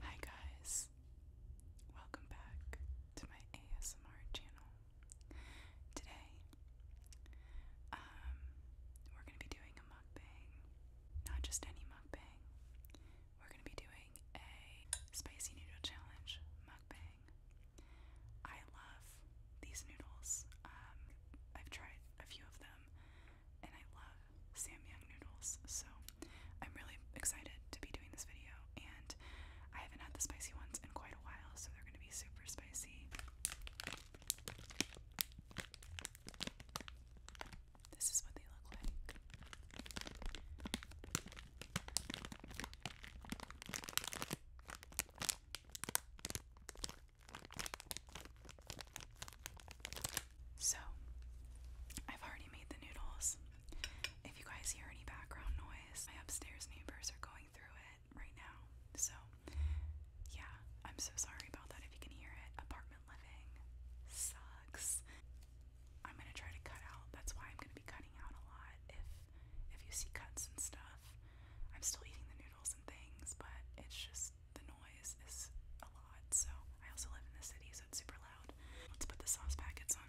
Hi, guys, welcome back to my ASMR channel. Today, um, we're going to be doing a mukbang, not just any mukbang, we're going to be doing a spicy noodle challenge mukbang. I love these noodles. Um, I've tried a few of them and I love Samyang noodles. So I'm really excited to be doing this video. And I haven't had the spicy ones in quite a while, so they're going to be super spicy. This is what they look like. So, I've already made the noodles. If you guys hear any background noise, my upstairs neighbors are going through it right now. So, yeah, I'm so sorry about that if you can hear it. Apartment living sucks. I'm gonna try to cut out. That's why I'm gonna be cutting out a lot. If if you see cuts and stuff, I'm still eating the noodles and things, but it's just the noise is a lot. So I also live in the city, so it's super loud. Let's put the sauce packets on.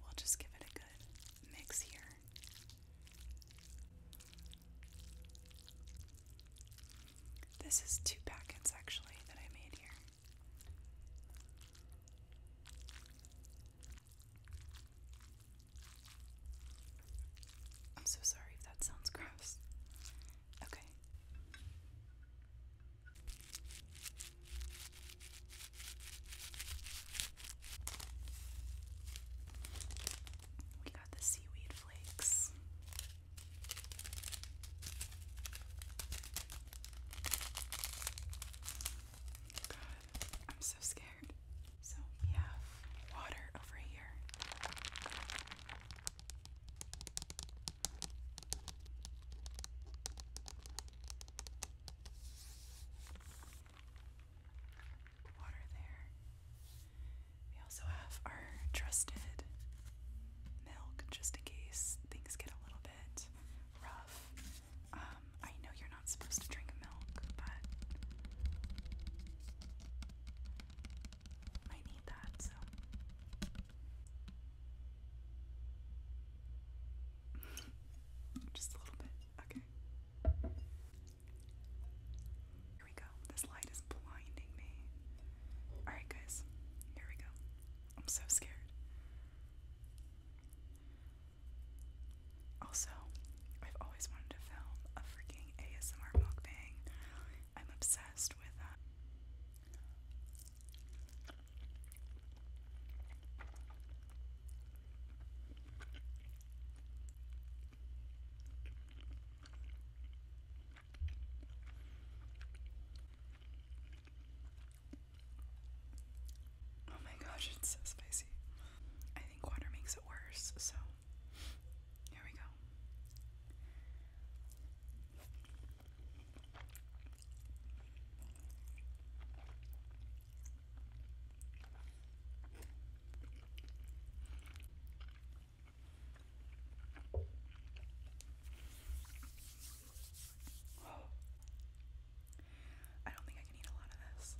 We'll just give it a good mix here. This is two packets actually that I made here. I'm so sorry if that sounds gross. Okay. We got the seaweed flakes. I'm so scared. So we have water over here. Water there. We also have our trusted milk just in case things get a little bit rough. Um, I know you're not supposed to drink milk, but might need that, so. Just a little bit. Okay. Here we go. This light is blinding me. Alright, guys. Here we go. I'm so scared. Also, I've always wanted to film a freaking ASMR mukbang. I'm obsessed with that. Oh my gosh, it's so spicy. I think water makes it worse, so here we go. I don't think I can eat a lot of this.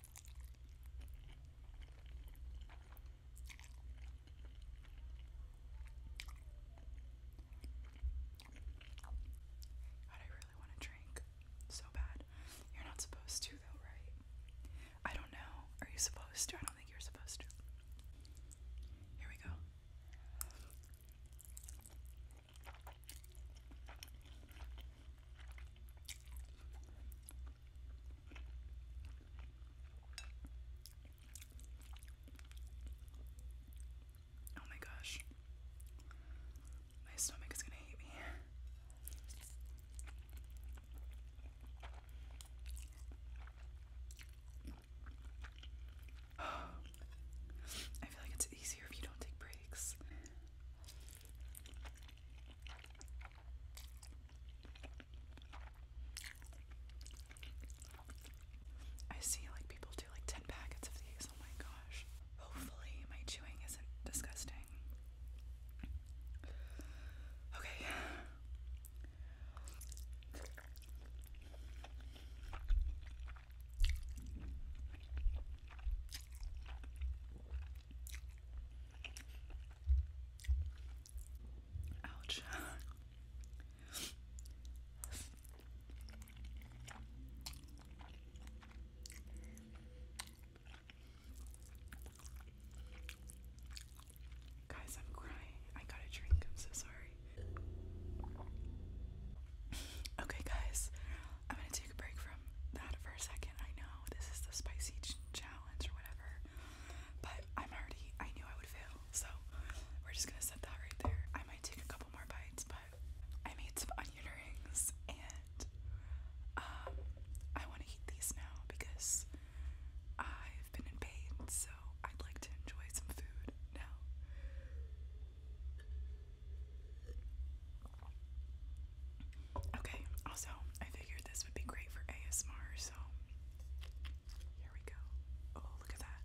But I really want to drink so bad. You're not supposed to, though, right? I don't know. Are you supposed to? I don't think you're supposed to. Here we go. Oh my gosh. My stomach is gonna hate me. I feel like it's easier if you don't take breaks. I see like people do like 10 packets of these. Oh my gosh. Hopefully my chewing isn't disgusting. Okay. Ouch. Guys, I'm crying. I got a drink. I'm so sorry. Okay, guys, I'm gonna take a break from that for a second. I know Oh, this is the spicy challenge or whatever. But I'm already, I knew I would fail, so we're just gonna set that right there. I might take a couple more bites, but I made some onion rings and um, I wanna eat these now because I've been in pain, so I'd like to enjoy some food now. Okay, also, I figured this would be great for ASMR, so here we go. Oh, look at that.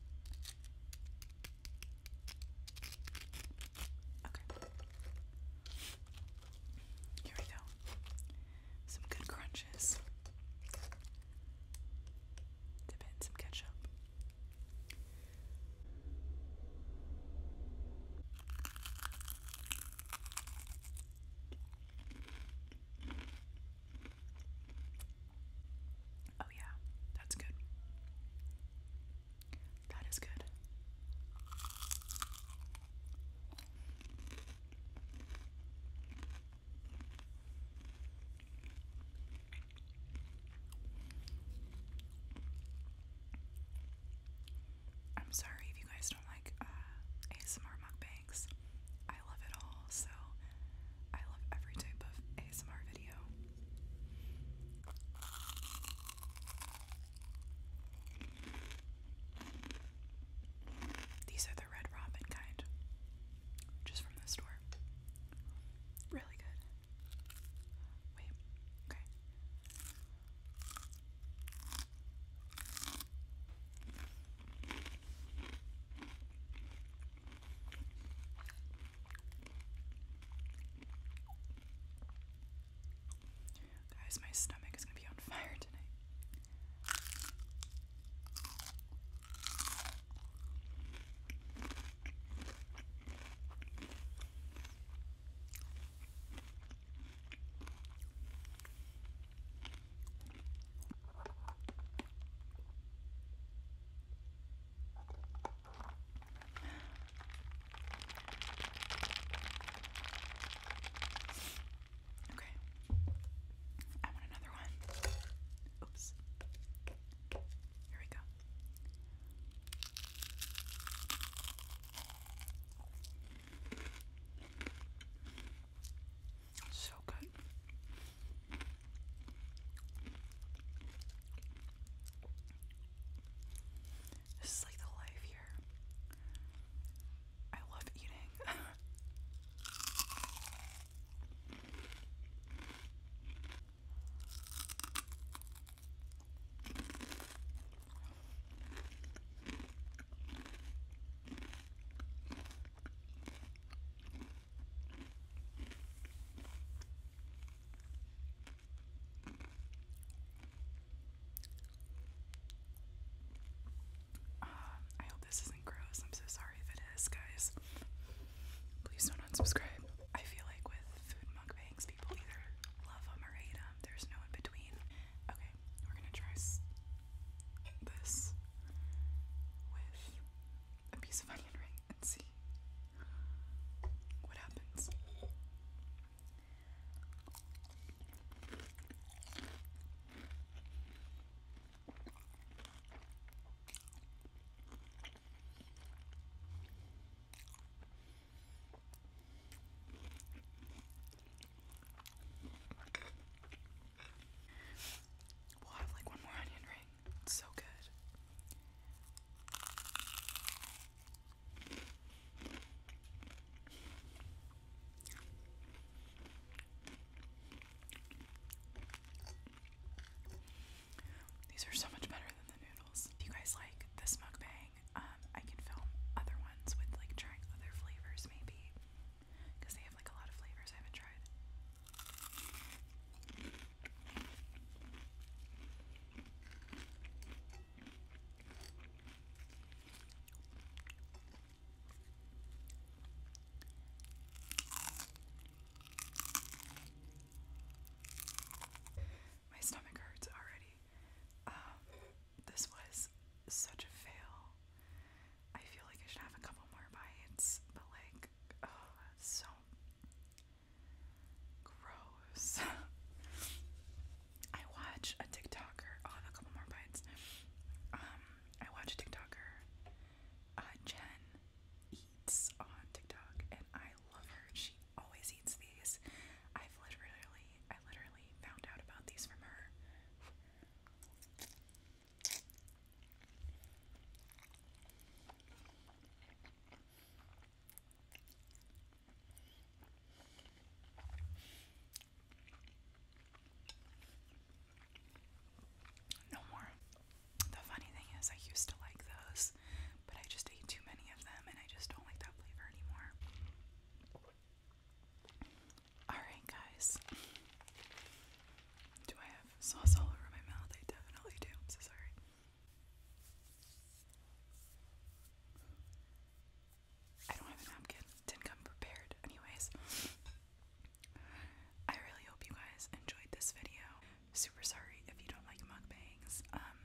Okay. Here we go. Some good crunches. Dip in some ketchup. Oh, yeah, that's good. That is good. I'm sorry if you guys don't like uh, ASMR mukbangs. I love it all, so I love every type of ASMR video. These are the Red Robin kind, just from the store. Really good. Wait, okay. Guys, my stomach is going to be on fire tonight. Okay. I want another one. Oops. Here we go. So good. This is like the life here. I love eating. I hope this isn't gross. I'm so sorry if it is, guys. Please don't unsubscribe. I feel like with food mukbangs, people either love them or hate them. There's no in between. Okay, we're gonna try this with a piece of onion ring and see what happens. We'll have like one more onion ring. so good. These are so much better than the noodles. If you guys like this mukbang, um, I can film other ones with like trying other flavors maybe. Because they have like a lot of flavors I haven't tried. My stomach hurts already. Um, this was such a fail. I feel like I should have a couple more bites, but like, oh, so gross. I watch a TikToker. i have a couple more bites. Um, I watch a TikToker. Uh, Jen eats on TikTok, and I love her. She always eats these. I've literally, I literally found out about these from her no more. The funny thing is, I used to like those, but I just ate too many of them and I just don't like that flavor anymore. Alright, guys. Do I have sauce all over my mouth? I definitely do. am so sorry. I don't have a napkin. Didn't come prepared, anyways. I really hope you guys enjoyed this video. Super sorry if you don't like mukbangs. Um,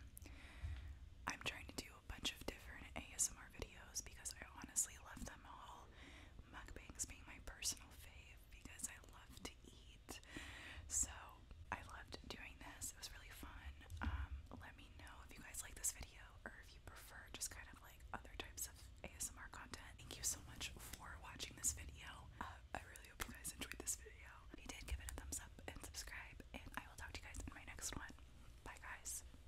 I'm trying to do a bunch of different ASMR videos because I honestly love them all. Mukbangs being my personal fave because I love to eat. So I loved doing this. It was really fun. Um, let me know if you guys like this video or if you prefer just kind of like other types of ASMR content. Thank you so much for watching this video. Uh, I really hope you guys enjoyed this video. If you did, give it a thumbs up and subscribe, and I will talk to you guys in my next one. Bye, guys.